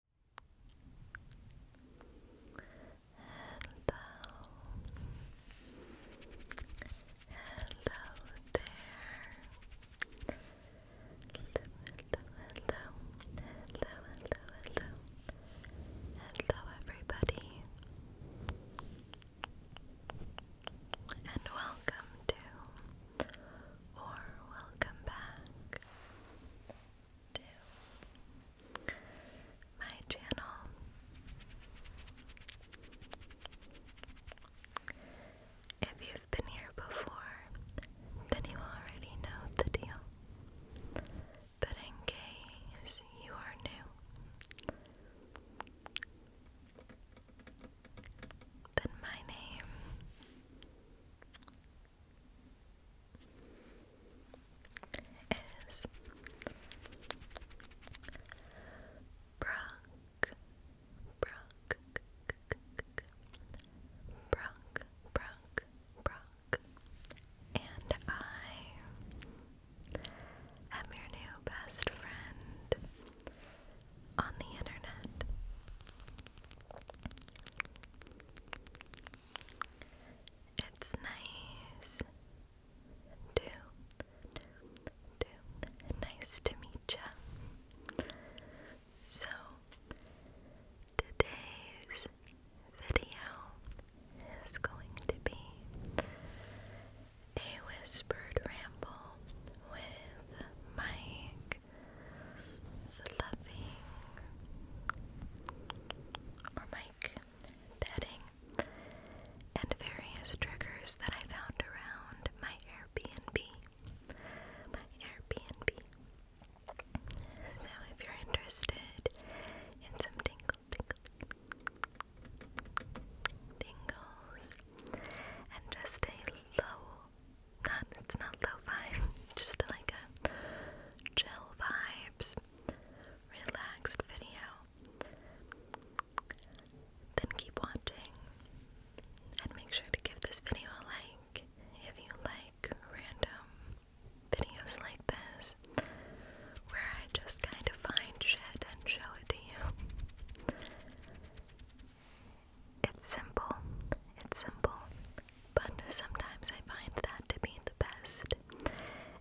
hello there. Hello, hello, hello, hello, hello, hello, everybody, and welcome to, or welcome back to my channel. If you've been here before, then you already know the deal. But in case you are new, then my name is Brock, Brock, Brock, Brock, Brock, and I am your new best friend on the internet. It's nice to, nice to meet you. So, today's video is going to be a whispered ramble with Mike fluffing, or mic bedding, and various triggers that I found around my Airbnb. My Airbnb. So if you're interested in some tingle, tingles, and just a low it's not lo-fi, just like a chill vibes, relaxed video. Then keep watching and make sure to give this video a like if you like random videos like this where I just kind of find shit and show it to you. It's simple. It's simple but sometimes I find that to be the best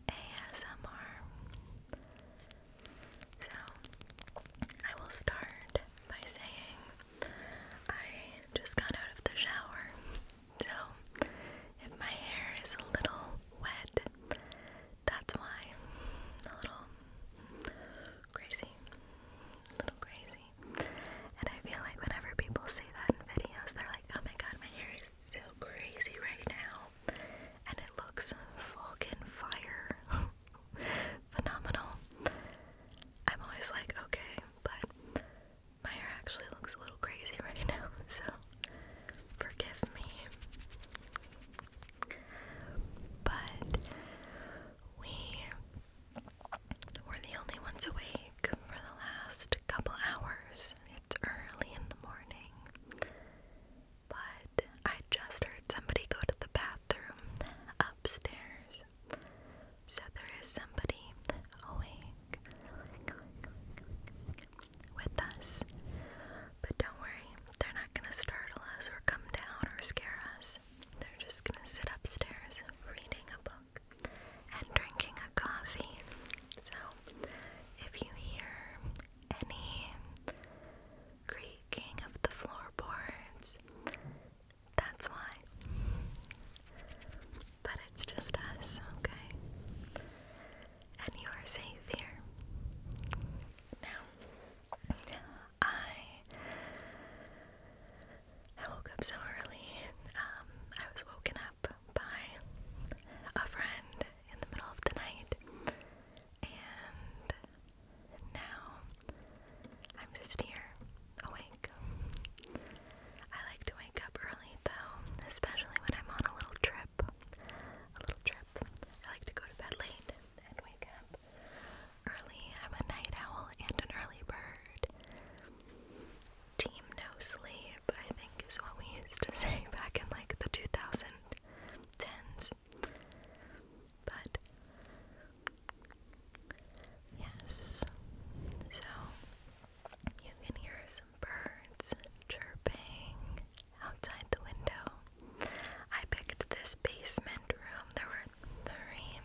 ASMR. So, I will start by saying I just got out of the shower. So, if my hair is a little wet, that's why. A little crazy. little crazy. And I feel like whenever people say that in videos, they're like, oh my god, my hair is so crazy right now. And it looks fucking fire. Phenomenal. I'm always like, okay, but my hair actually looks a little crazy right now, so forgive me. But we we're the only ones awake for the last couple hours. It's early in the morning. But I just heard somebody go to the bathroom upstairs. So there is somebody awake with us. But don't worry, they're not going to startle us or come down or scare us. They're just going to sit upstairs reading a book and drinking a coffee. So, if you hear any creaking of the floorboards, that's why. But it's just us, okay? And you are safe here. Now, I I woke up so early. Um, I was woken up by a friend in the middle of the night, and now I'm just here, awake. I like to wake up early though, especially when I'm on a little trip. A little trip. I like to go to bed late and wake up early. I'm a night owl and an early bird. Team no sleep, I think, is what we used to say back in like the 2010s. But, yes. So, you can hear some birds chirping outside the window. I picked this basement room. There were three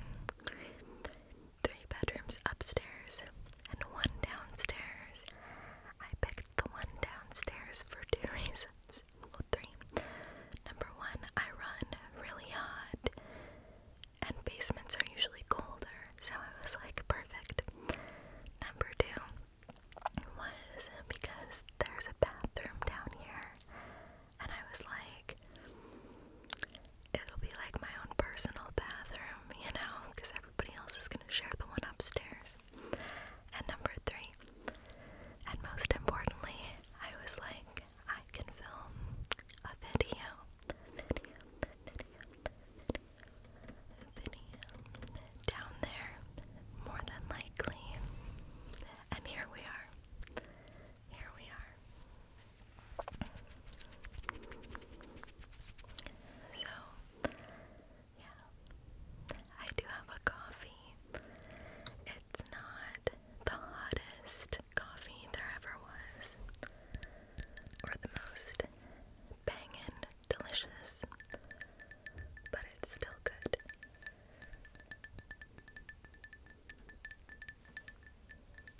three bedrooms upstairs and one downstairs. I picked the one downstairs for two reasons. three. Number one, I run really hot, and basements are usually colder, so it was like, perfect. Number two was because there's a bathroom down here, and I was like, it'll be like my own personal bathroom, you know, because everybody else is going to share the one upstairs. And number three, and most importantly, I was like, I can film a video, video, video, video, down there, more than likely. And here we are. Here we are. So, yeah, I do have a coffee. It's not the hottest coffee there ever was, or the most bangin' delicious, but it's still good.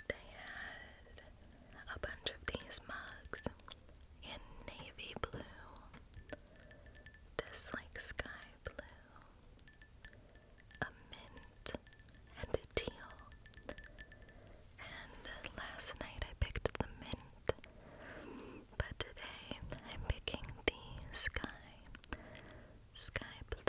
They had a bunch of these mugs in navy blue, this like sky blue, a mint, and a teal. And last night I picked the mint, but today I'm picking the sky, sky blue, sky blue.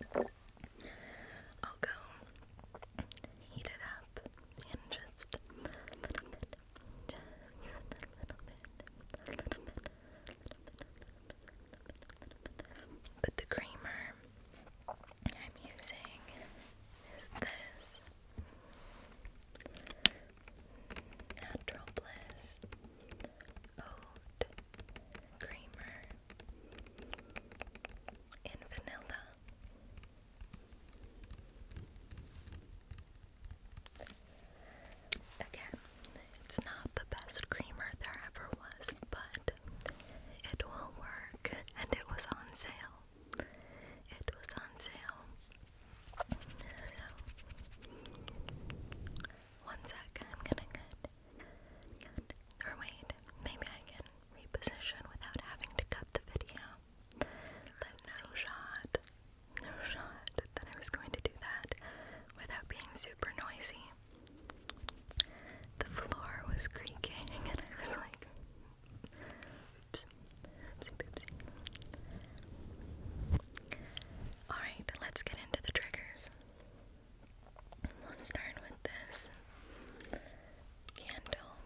So I'll go heat it up and just a little bit, just a little bit, a little bit, a little bit, a little bit, a little bit, a little bit. Put the creamer primer I'm using is this Natural Bliss Oat Creamer in vanilla. Again, it's not the best creamer there ever was, but it will work, and it was on sale. It was on sale. one sec, I'm gonna cut. Or wait, maybe I can reposition without having to cut the video. But no shot, no shot that I was going to do that without being super noisy. The floor was creaking, and I was like, Alright, let's get into the triggers. We'll start with this candle.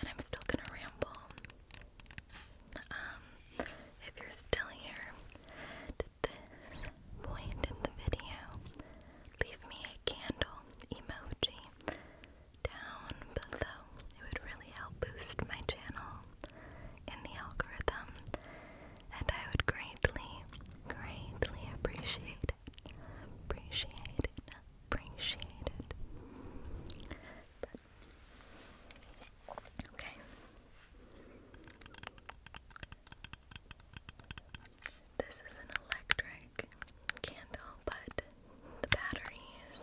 And I'm still gonna ramble. Um, if you're still here, this point in the video, leave me a candle emoji down below. It would really help boost my channel in the algorithm, and I would greatly, greatly appreciate it. Appreciate it. Appreciate it. Okay. This is an electric candle, but the batteries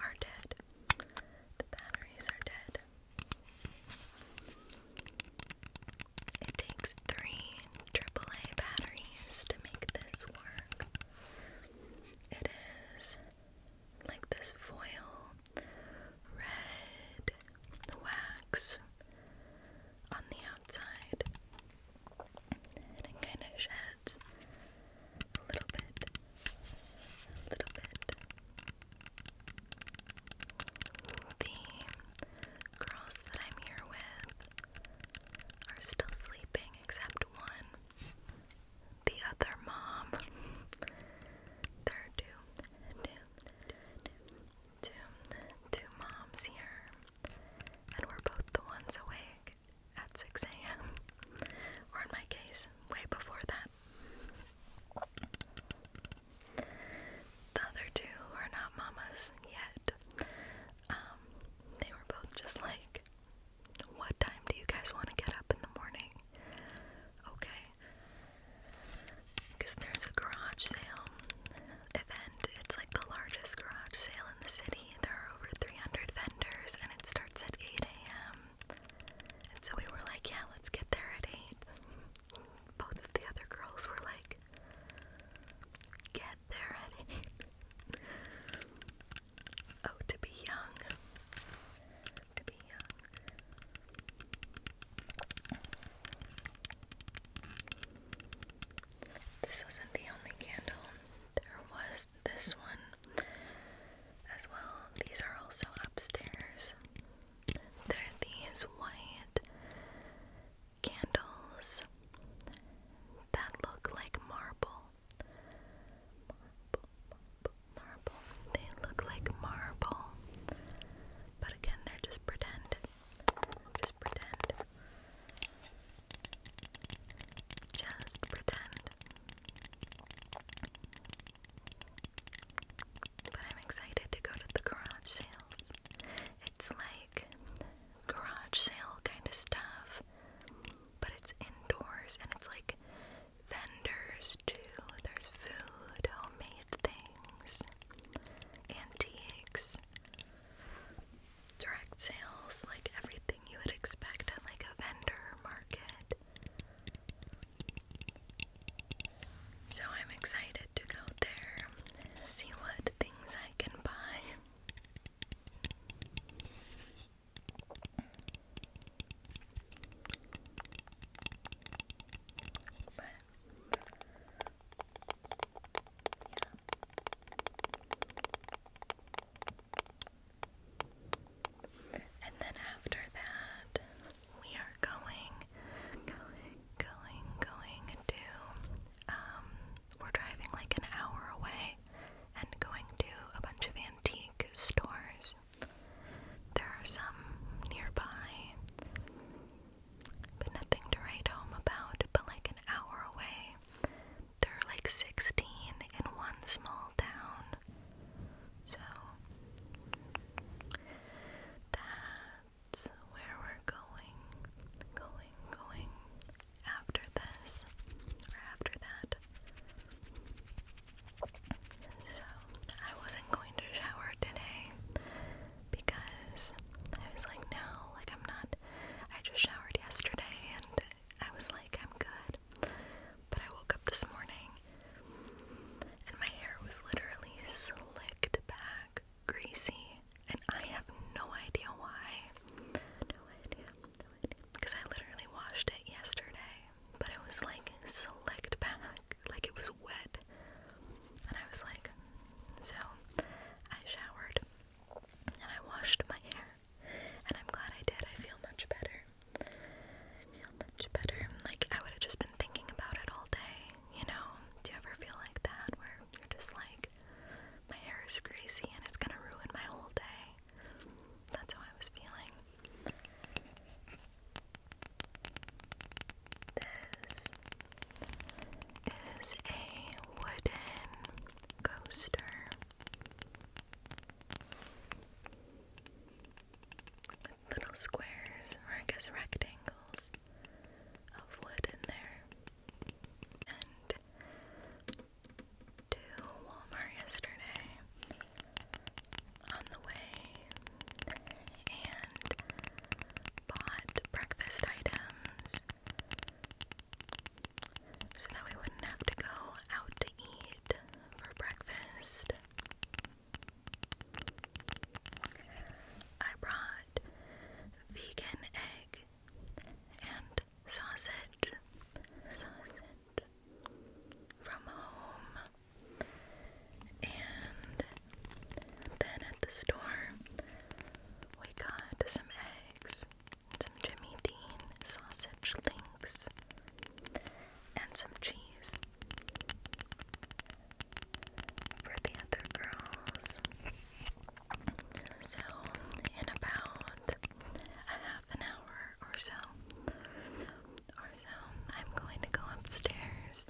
are dead. The batteries are dead. It takes three AAA batteries to make this work. It is like this foil red white wax on the outside, and it kind of sheds a little bit, a little bit. The girls that I'm here with are still sleeping except one. The other mom. there are two, two, two, two, two, two moms here, and we're both the ones awake at 6 a.m., or in my case, way before that. The other two are not mamas yet. Um, they were both just like, What time do you guys want to get up in the morning? Okay, because there's a garage sale event. It's like the largest garage sale in the city. There are over 300 vendors, and it starts at 8 a.m. And so we were like, yeah, let's get there at 8. Both of the other girls were like, get there at 8. oh, to be young. To be young. This wasn't the only candle. There was this one as well. These are also upstairs. They're these white candles that look like marble. Marble, marble, They look like marble. But again, they're just pretend. Just pretend. Just pretend. But I'm excited to go to the garage sales. It's like garage sale kind of stuff, but it's indoors and it's like vendors too. There's food, homemade things, antiques. Direct sales, like everything you would expect at like a vendor market. So I'm excited to go there, see what things I can buy. And then after that, we are going, going, going, to, um, we're driving like an hour away and going to a bunch of antique stores. There are some nearby but nothing to write home about, but like an hour away. There are like 16 in one small town. So, that's where we're going. Going, going after this, or after that. So, I wasn't going to shower today because I was like, no, like I'm not. I just showered yesterday and I was like, I'm good. But I woke up this morning and my hair was literally slicked back, greasy, and I have no idea why. Because I literally washed it yesterday, but it was like slicked back, like it was wet. And I was like, so I showered and I washed my hair. And I'm glad I did. I feel much better. I feel much better. Like, I would have just been thinking about it all day, you know? Do you ever feel like that where you're just like, my hair is greasy and it's gonna ruin my whole day? That's how I was feeling. This is a wooden coaster. little squares, or I guess rectangles, of wood in there. And to Walmart yesterday, on the way and bought breakfast items so that we wouldn't have to go out to eat for breakfast. I brought vegan egg and sausage, from home, and then at the store, we got some eggs, some Jimmy Dean sausage links, and some cheese. For the other girls. So, in about a half an hour or so, or so, I'm going to go upstairs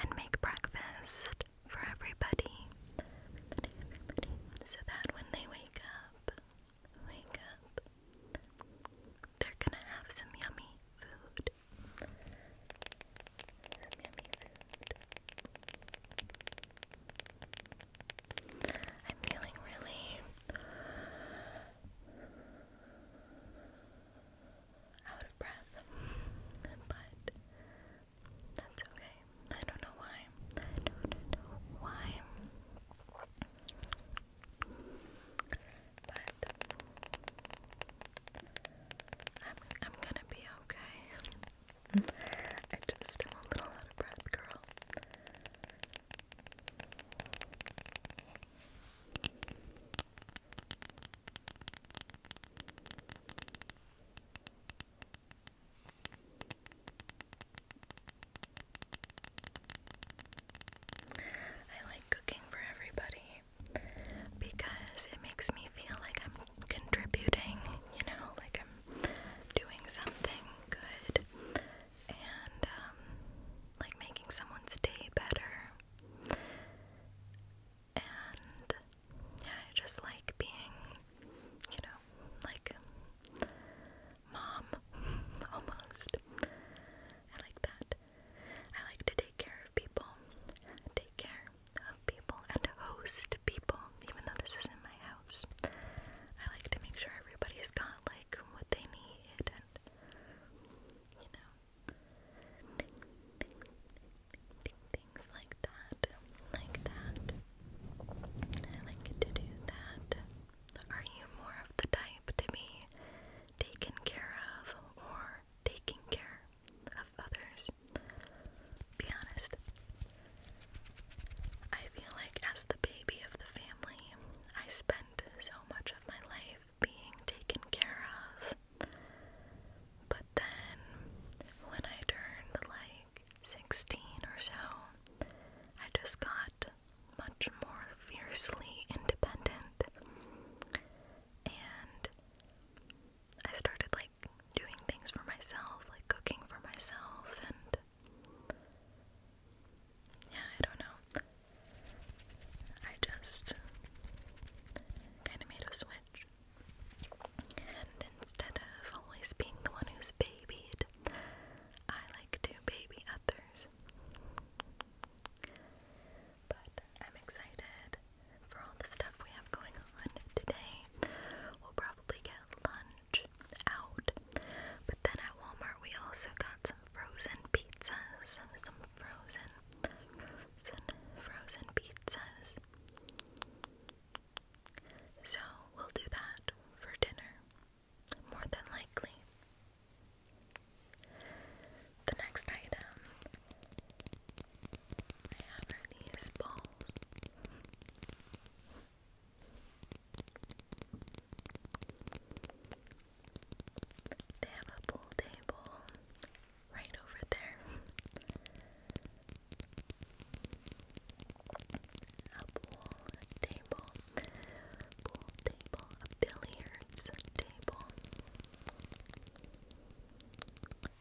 and make breakfast for everybody. So that when they wake up, wake up, they're gonna have Some yummy food. I'm feeling really out of breath, but that's okay. I don't know why. I don't know why. But I'm gonna be okay. I just am a little out of breath, girl. I like cooking for everybody because it makes me feel like I'm contributing, you know, like I'm doing something good and um, like making someone's day better. And yeah, I just like being, you know, like mom almost. I like that. I like to take care of people, take care of people, and host people, even though this isn't my house. I like to make sure everybody's got like what they need and, you know things like that, like that. I like to do that. Are you more of the type to be taken care of or taking care of others? Be honest. I feel like as the baby of the family, I spent so much of my life being taken care of but then, when I turned like 16 or so, I just got much more fiercely independent. And I started like doing things for myself, like cooking for myself, and yeah, I don't know. I just kind of made a switch. And instead of always being the one who's babied, I like to baby others. But I'm excited for all the stuff we have going on today. We'll probably get lunch out, but then at Walmart we also got some frozen pizzas, some frozen, frozen, frozen pizzas, so we'll do that for dinner, more than likely. The next item I have are these balls. They have a pool table right over there. pool table, pool table, a billiards table.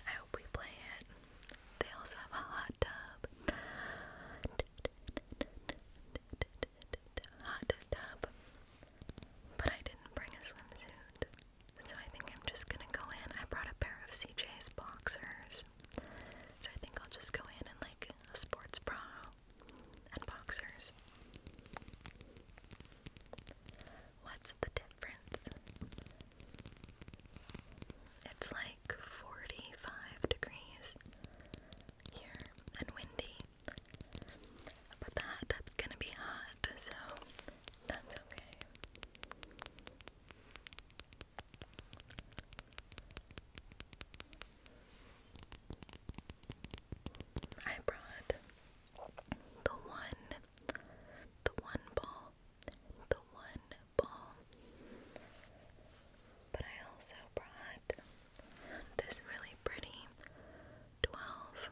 I hope we play it. They also have a hot tub. Hot tub. But I didn't bring a swimsuit. So I think I'm just gonna go in. I brought a pair of CJ's boxers. So I think I'll just go in and like a sports bra and boxers. What's the difference? It's like 45 degrees here and windy. But the gonna be hot, so that's okay. I brought the one, the one ball, the one ball. But I also brought this really pretty 12,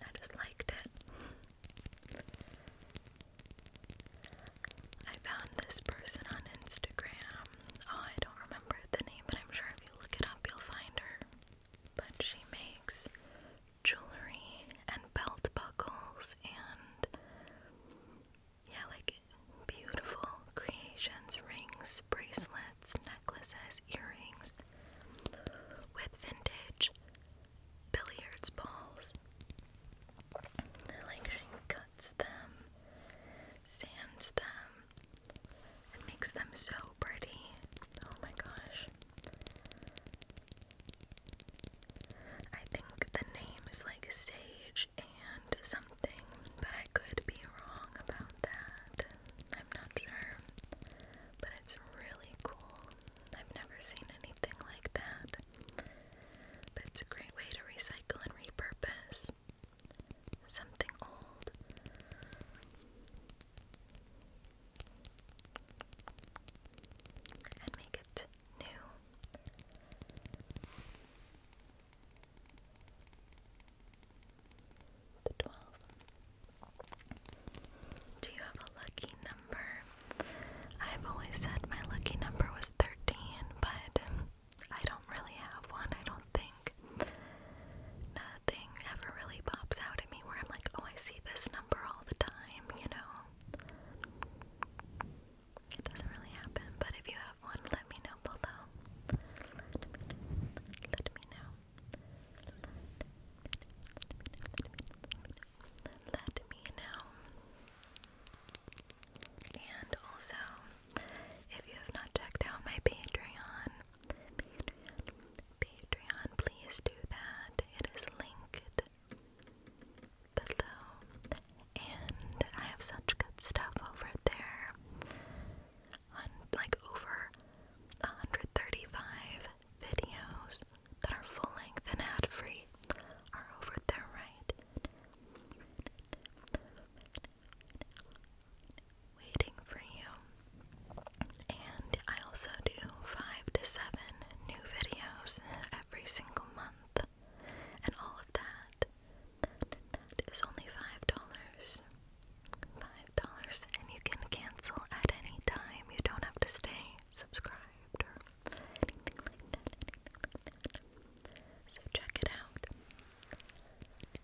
I just liked it. I found this person on Instagram. Oh, I don't remember the name, but I'm sure if you look it up, you'll find her. But she makes jewelry and belt buckles and, yeah, like beautiful creations, rings, bracelets, earrings, with vintage billiards balls. Like she cuts them, sands them, makes them so pretty. Oh my gosh. I think the name is like Sage and something, but I could be wrong about that. I'm not sure. But it's really cool. I've never seen anything like that. But it's a great way to recycle and repurpose something old. And make it new. The 12. Do you have a lucky number? I've always said my lucky number was 13, but I don't really have one, I don't think. Nothing ever really pops out at me where I'm like, oh, I see this number all the time, you know? It doesn't really happen, but if you have one, let me know below. Let me know. Let me know. And also, if you have not checked out my Patreon, Patreon, please do that. It is linked below. And I have such good stuff over there. On like over 135 videos that are full length and ad free are over there, right? Waiting for you. And I also do five to seven new videos every single month, and all of that. That is only $5 five dollars and you can cancel at any time. You don't have to stay subscribed or anything like that. So check it out.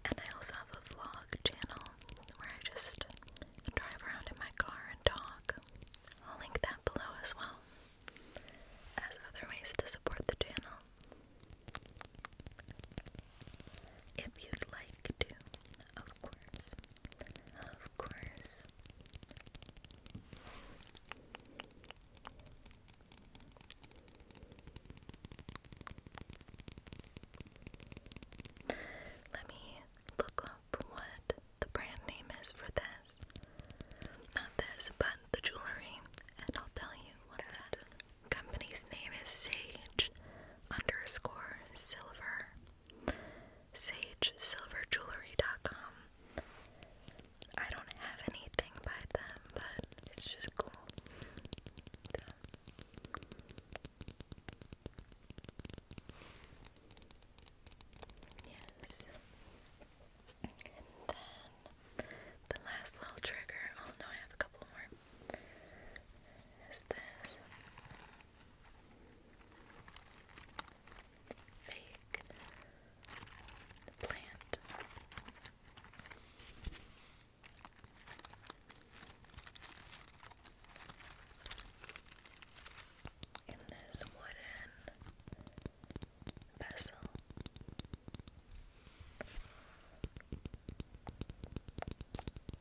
And I also have a vlog channel where I just drive around in my car and talk. I'll link that below as well as other ways to support the channel. If you'd like to, of course. Of course. Let me look up what the brand name is for this. Not this, but the jewelry, and I'll tell you what it's Company's name is Sage underscore Silver. SageSilverJewelry.com. I don't have anything by them, but it's just cool. Yes. And then the last little trigger, oh no, I have a couple more. Is this? fake plant. In this wooden vessel,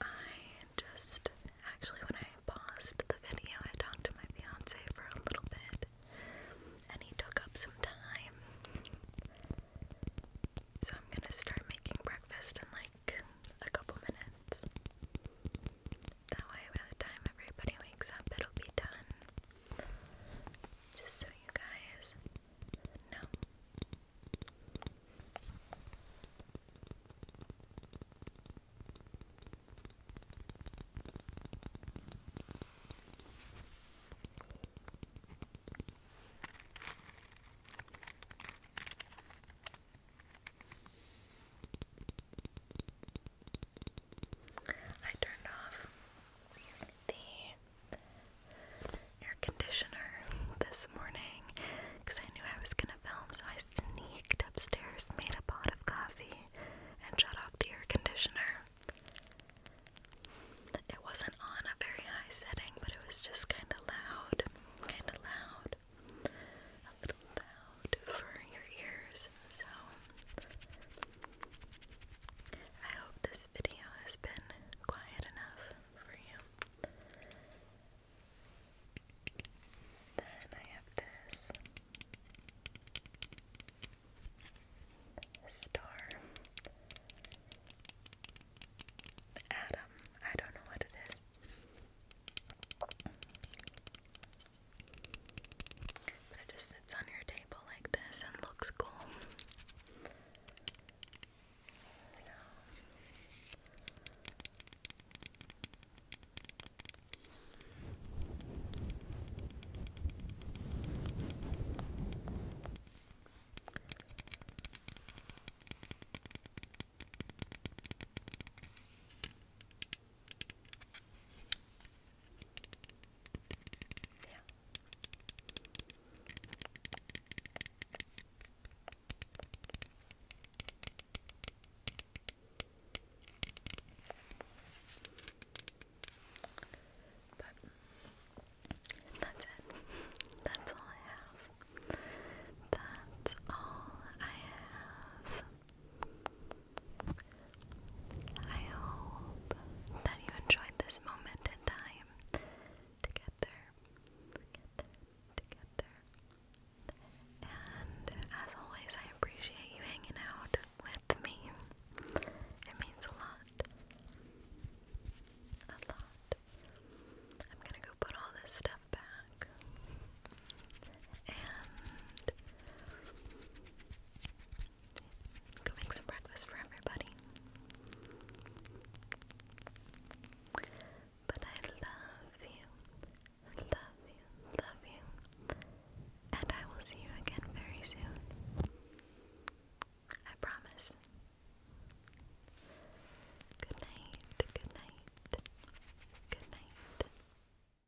I just actually, when I paused the video, I talked to my fiance for a little bit and he took up some time. So I'm gonna start making breakfast in like a couple minutes. That way, by the time everybody wakes up, it'll be done. Just so you guys know. I turned off the air conditioner this morning because I knew I was going to film, so I sneaked upstairs, made a pot of coffee, and shut off the air conditioner. It wasn't on a very high setting, but it was just kind of loud. Kind of loud. A little loud out for your ears. So, I hope this video has been quiet enough for you. Then I have this star atom. I don't know what it is. But it just sits on your table like this and looks cool. Yeah. But that's it. That's all I have. That's all I have. I hope that you enjoyed this moment in time together, And as always, I appreciate you hanging out with me. It means a lot. A lot. I'm gonna go put all this stuff back and go make some breakfast for everybody. But I love you, love you, love you, and I will see you again very soon. I promise. Good night, good night, good night.